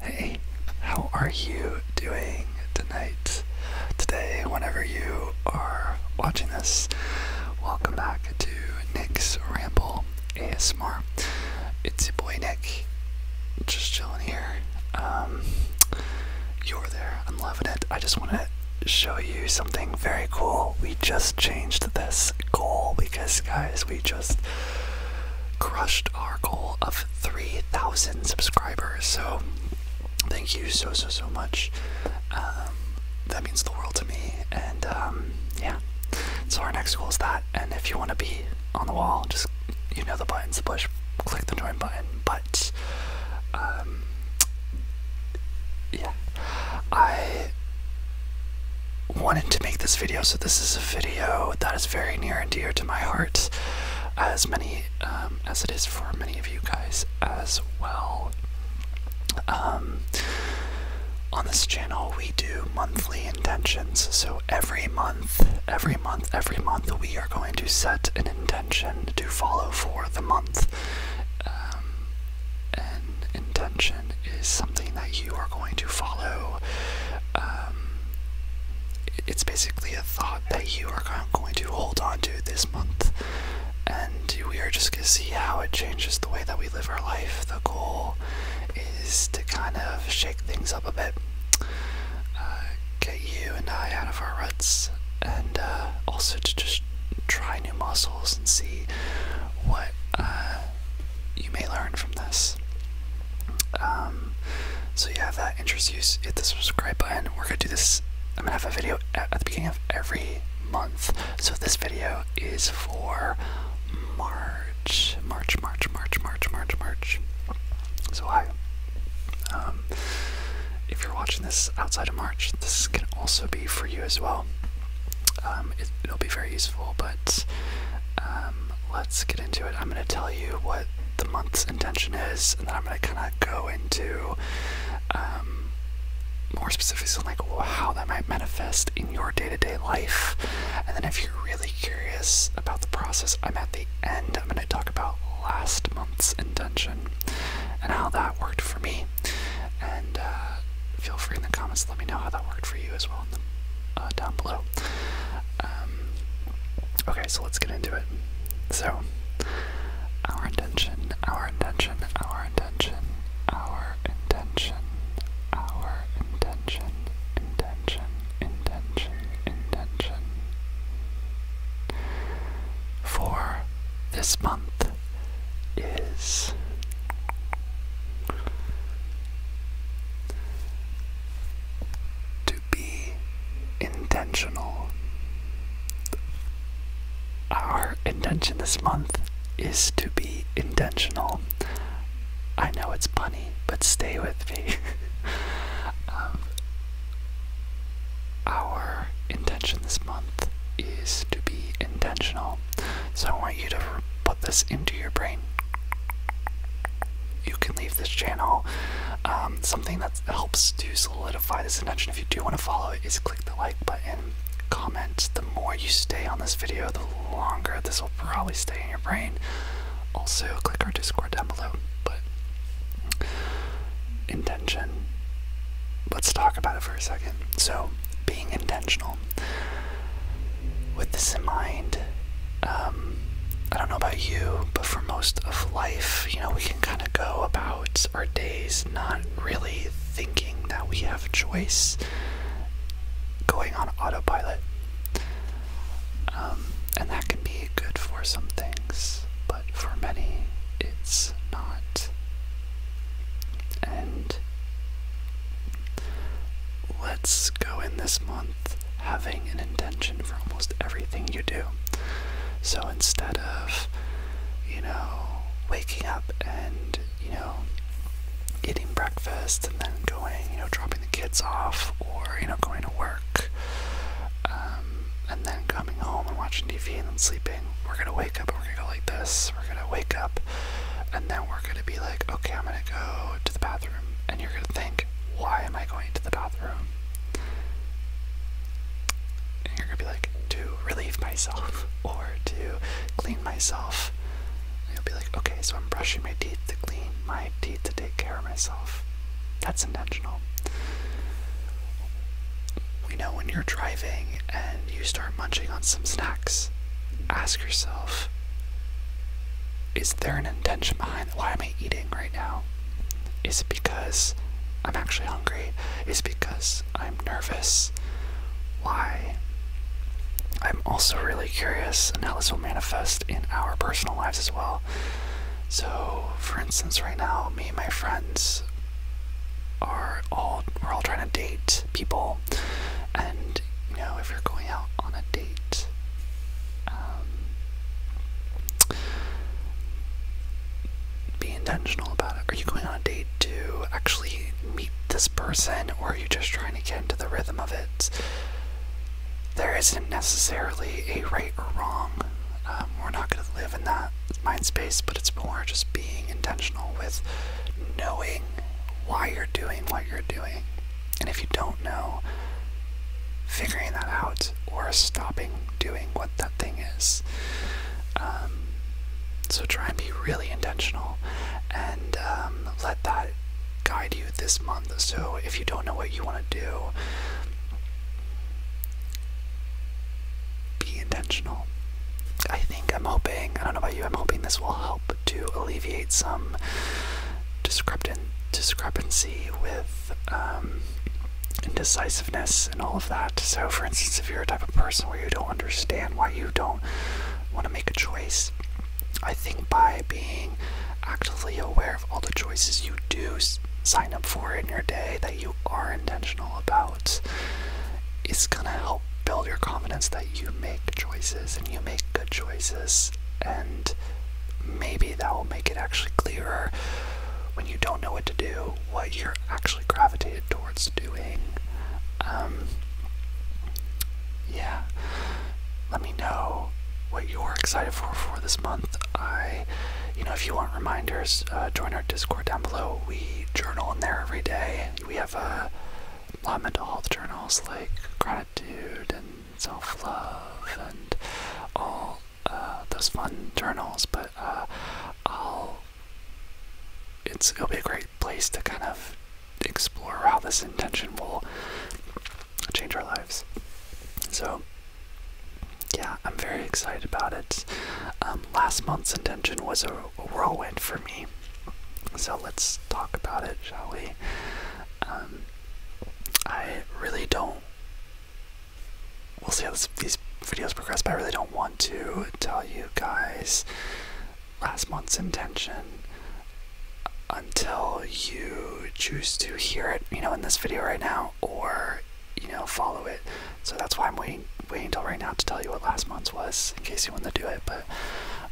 Hey, how are you doing tonight? Today, whenever you are watching this, welcome back to Nick's Ramble ASMR. It's your boy Nick, just chilling here. Um, you're there, I'm loving it. I just want to show you something very cool. We just changed this goal because, guys, we just crushed our goal of 3,000 subscribers. So thank you so, so, so much. Um, that means the world to me. And um, yeah, so our next goal is that. And if you want to be on the wall, just you know the buttons to push, click the join button. But um, yeah, I wanted to make this video, so this is a video that is very near and dear to my heart, as many um, as it is for many of you guys as well. Um, on this channel, we do monthly intentions. So every month, every month, every month, we are going to set an intention to follow for the month. Um, an intention is something that you are going to follow um, it's basically a thought that you are going to hold on to this month, and we are just going to see how it changes the way that we live our life. The goal is to kind of shake things up a bit, uh, get you and I out of our ruts, and uh, also to just try new muscles and see what uh, you may learn from this. Um, so yeah, if that interests you, hit the subscribe button. We're gonna do this. I'm gonna have a video at, the beginning of every month. So this video is for March, March, March, March, March, March, March. So hi. Um, if you're watching this outside of March, this can also be for you as well. Um, it, will be very useful, but let's get into it. I'm going to tell you what the month's intention is, and then I'm going to kind of go into um, more specifics on like how that might manifest in your day-to-day life. And then if you're really curious about the process, I'm at the end. I'm going to talk about last month's intention and how that worked for me. And uh, feel free in the comments let me know how that worked for you as well. Uh, down below. Um, okay, so let's get into it. So, our intention, our intention, our intention, our intention, our intention, intention, intention, intention. For this month is to be intentional. Our intention this month is to be intentional. I know it's punny, but stay with me. Um, our intention this month is to be intentional. So I want you to put this into your brain you can leave this channel. Um, something that helps to solidify this intention, if you do want to follow it, is click the like button, comment. The more you stay on this video, the longer this will probably stay in your brain. Also, click our Discord down below. But intention. Let's talk about it for a second. So, being intentional with this in mind, um, I don't know about you, but for most of life, you know, we can kind of go about our days not really thinking that we have a choice, going on autopilot. Um, and that can be good for some things, but for many, it's not. And Let's go in this month having an intention for almost everything you do. So instead of, you know, waking up and, you know, eating breakfast and then going, you know, dropping the kids off or, you know, going to work um, and then coming home and watching TV and then sleeping, we're going to wake up and we're going to go like this. We're going to wake up and then we're going to be like, okay, I'm going to go to the bathroom and you're going to think, why am I going to the bathroom? you're going to be like, to relieve myself or to clean myself. you'll be like, okay, so I'm brushing my teeth to clean my teeth to take care of myself. That's intentional. We know when you're driving and you start munching on some snacks, ask yourself, is there an intention behind why am I eating right now? Is it because I'm actually hungry? Is it because I'm nervous? Why? I'm also really curious and how this will manifest in our personal lives as well. So, for instance, right now, me and my friends are all we're all trying to date people and you know, if you're going out on a date, um, be intentional about it. Are you going on a date to actually meet this person, or are you just trying to get into the rhythm of it? There isn't necessarily a right or wrong. Um, we're not going to live in that mind space, but it's more just being intentional with knowing why you're doing what you're doing. And if you don't know, figuring that out or stopping doing what that thing is. Um, so try and be really intentional and um, let that guide you this month. So if you don't know what you want to do, be intentional. I think I'm hoping, I don't know about you, I'm hoping this will help to alleviate some discrepancy with um, indecisiveness and all of that. So, for instance, if you're a type of person where you don't understand why you don't want to make a choice, I think by being actively aware of all the choices you do sign up for in your day that you are intentional about, is gonna help build your confidence that you make choices and you make good choices, and maybe that will make it actually clearer when you don't know what to do, what you're actually gravitated towards doing. Um, yeah, let me know what you're excited for for this month. I, you know, if you want reminders, uh, join our Discord down below. We journal in there every day. We have a lot of mental health journals like Dude and self love and all uh, those fun journals, but uh, I'll. it'll be a great place to kind of explore how this intention will change our lives. So, yeah, I'm very excited about it. Um, last month's intention was a whirlwind for me. So let's talk about it, shall we? Um, I really don't. We'll see how this, these videos progress, but I really don't want to tell you guys last month's intention until you choose to hear it, you know, in this video right now, or you know, follow it. So that's why I'm waiting, waiting until right now to tell you what last month's was, in case you want to do it. But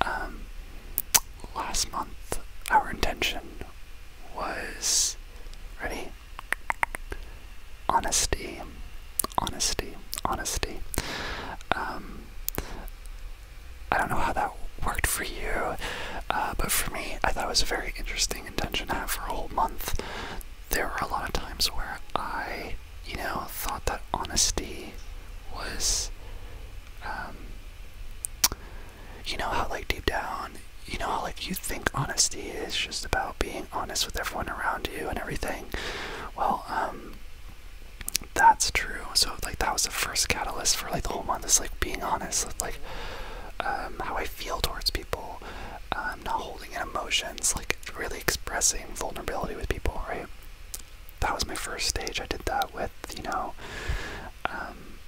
um, last month, our intention was ready? Honesty, honesty, honesty. Um, I don't know how that worked for you, uh, but for me, I thought it was a very interesting intention to have for a whole month. There were a lot of times where I, you know, thought that honesty was um, you know how like deep down you know how like you think honesty is just about being honest with everyone around you and everything well um that's true so like that was the first catalyst for like the whole month is like being honest like um how i feel towards people um not holding in emotions like really expressing vulnerability with people right that was my first stage. I did that with, you know, um,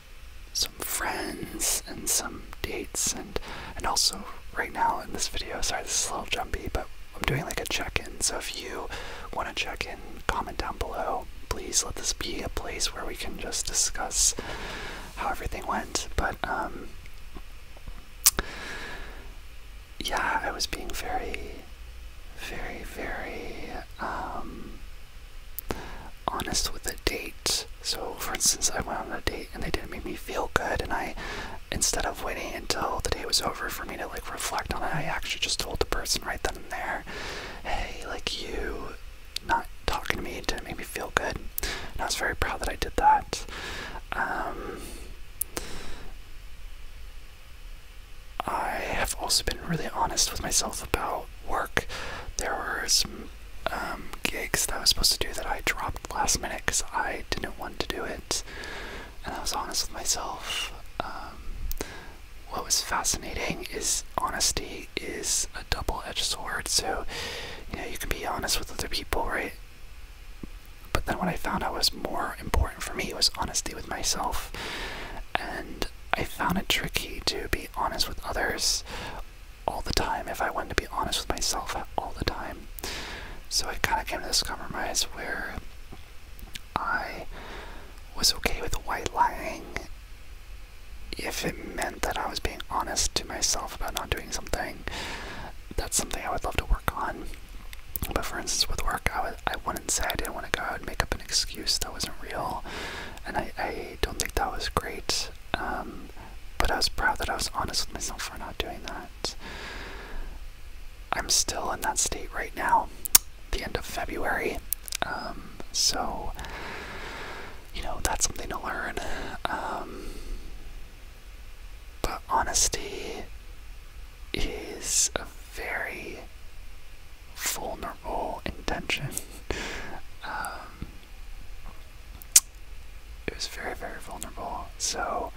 some friends and some dates, and and also right now in this video. Sorry, this is a little jumpy, but I'm doing like a check-in. So if you want to check in, comment down below. Please let this be a place where we can just discuss how everything went. But um, yeah, I was being very, very, very um, honest with a date. So, for instance, I went on a date and they didn't make me feel good, and I, instead of waiting until the day was over for me to like reflect on it, I actually just told the person right then and there, "Hey, like you, not talking to me didn't make me feel good." And I was very proud that I did that. Um, I have also been really honest with myself about work. There were some um, gigs that I was supposed to do that I dropped last minute because I didn't want to do it, and I was honest with myself. Um, what was fascinating is honesty is a double-edged sword. So, you know, you can be honest with other people, right? But then what I found out was more important for me was honesty with myself, and I found it tricky to be honest with others all the time if I wanted to be honest with myself all the time. So I kind of came to this compromise where I was okay with white lying if it meant that I was being honest to myself about not doing something. That's something I would love to work on. But for instance, with work, I I wouldn't say I didn't want to go. I would make up an excuse that wasn't real, and I, don't think that was great. Um, but I was proud that I was honest with myself for not doing that. I'm still in that state right now, the end of February. Um, so, you know, that's something to learn. Um, but honesty is a very vulnerable intention. Um, it was very, very vulnerable. So,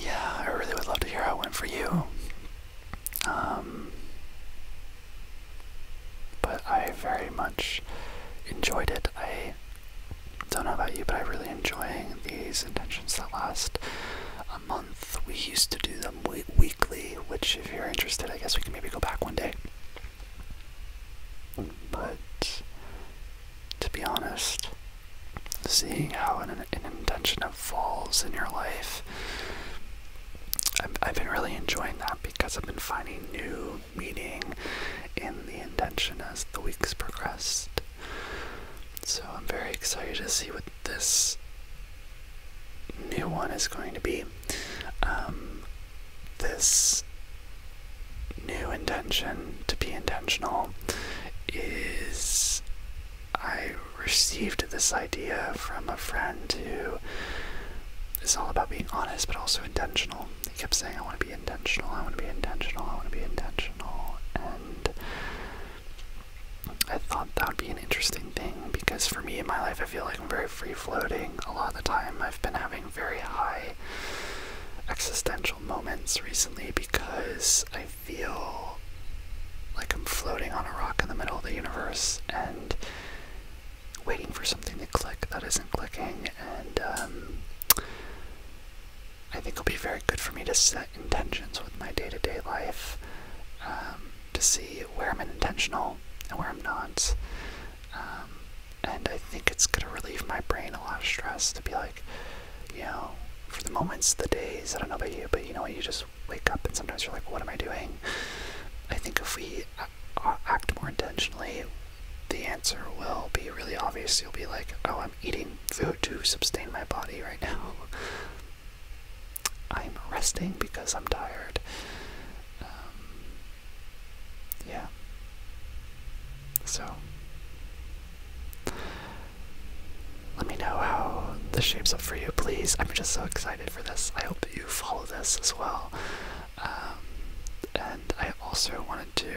yeah, I really would love to hear how it went for you. Um, but I very much enjoyed it. I don't know about you, but I really enjoying these intentions that last month. We used to do them weekly, which, if you're interested, I guess we can maybe go back one day. But to be honest, seeing how an, intention evolves in your life, I've been really enjoying that because I've been finding new meaning in the intention as the weeks progressed. So I'm very excited to see what this new one is going to be. Um, this new intention to be intentional is I received this idea from a friend who is all about being honest but also intentional. He kept saying, I want to be intentional, I want to be intentional, I want to be intentional. And I thought that would be an interesting thing because for me in my life, I feel like I'm very free floating. A lot of the time, I've been having very high existential moments recently because I feel like I'm floating on a rock in the middle of the universe and waiting for something to click that isn't clicking, and um, I think it'll be very good for me to set intentions with my day to day life um, to see where I'm intentional and where I'm not. Um, and I think it's going to relieve my brain a lot of stress to be like, you know, for the moments, the days, I don't know about you, but you know what, you just wake up and sometimes you're like, what am I doing? I think if we uh, act more intentionally, the answer will be really obvious. You'll be like, oh, I'm eating food to sustain my body right now. I'm resting because I'm tired. Um, yeah. So, let me know how this shapes up for you, please. I'm just so excited for this. I hope you follow this as well. Um, and I also wanted to.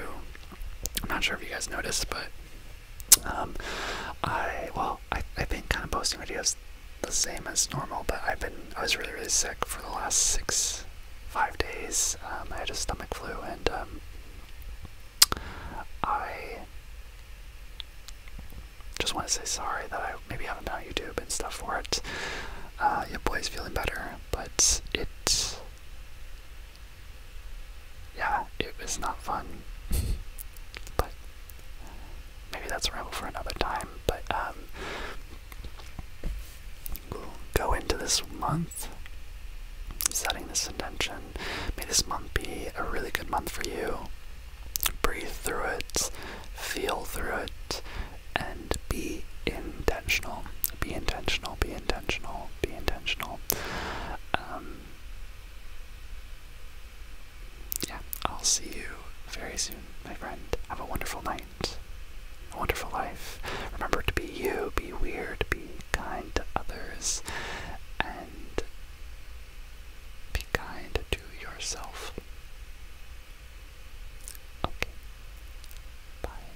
I'm not sure if you guys noticed, but um, I well, I I've been kind of posting videos the same as normal, but I've been I was really really sick for the last six five days. Um, I had a stomach flu, and um, I just want to say sorry that I maybe haven't been on YouTube and stuff for it. Yeah, uh, your boy's feeling better, but it yeah, it was not fun. but maybe that's a ramble for another time. But um, we'll go into this month setting this intention. May this month be a really good month for you. Breathe through it, feel through it, and be intentional. Be intentional, be intentional, be intentional. Um, yeah, I'll see you very soon, my friend. Have a wonderful night, a wonderful life. Remember to be you, be weird, be kind to others, and be kind to yourself. Okay. Bye.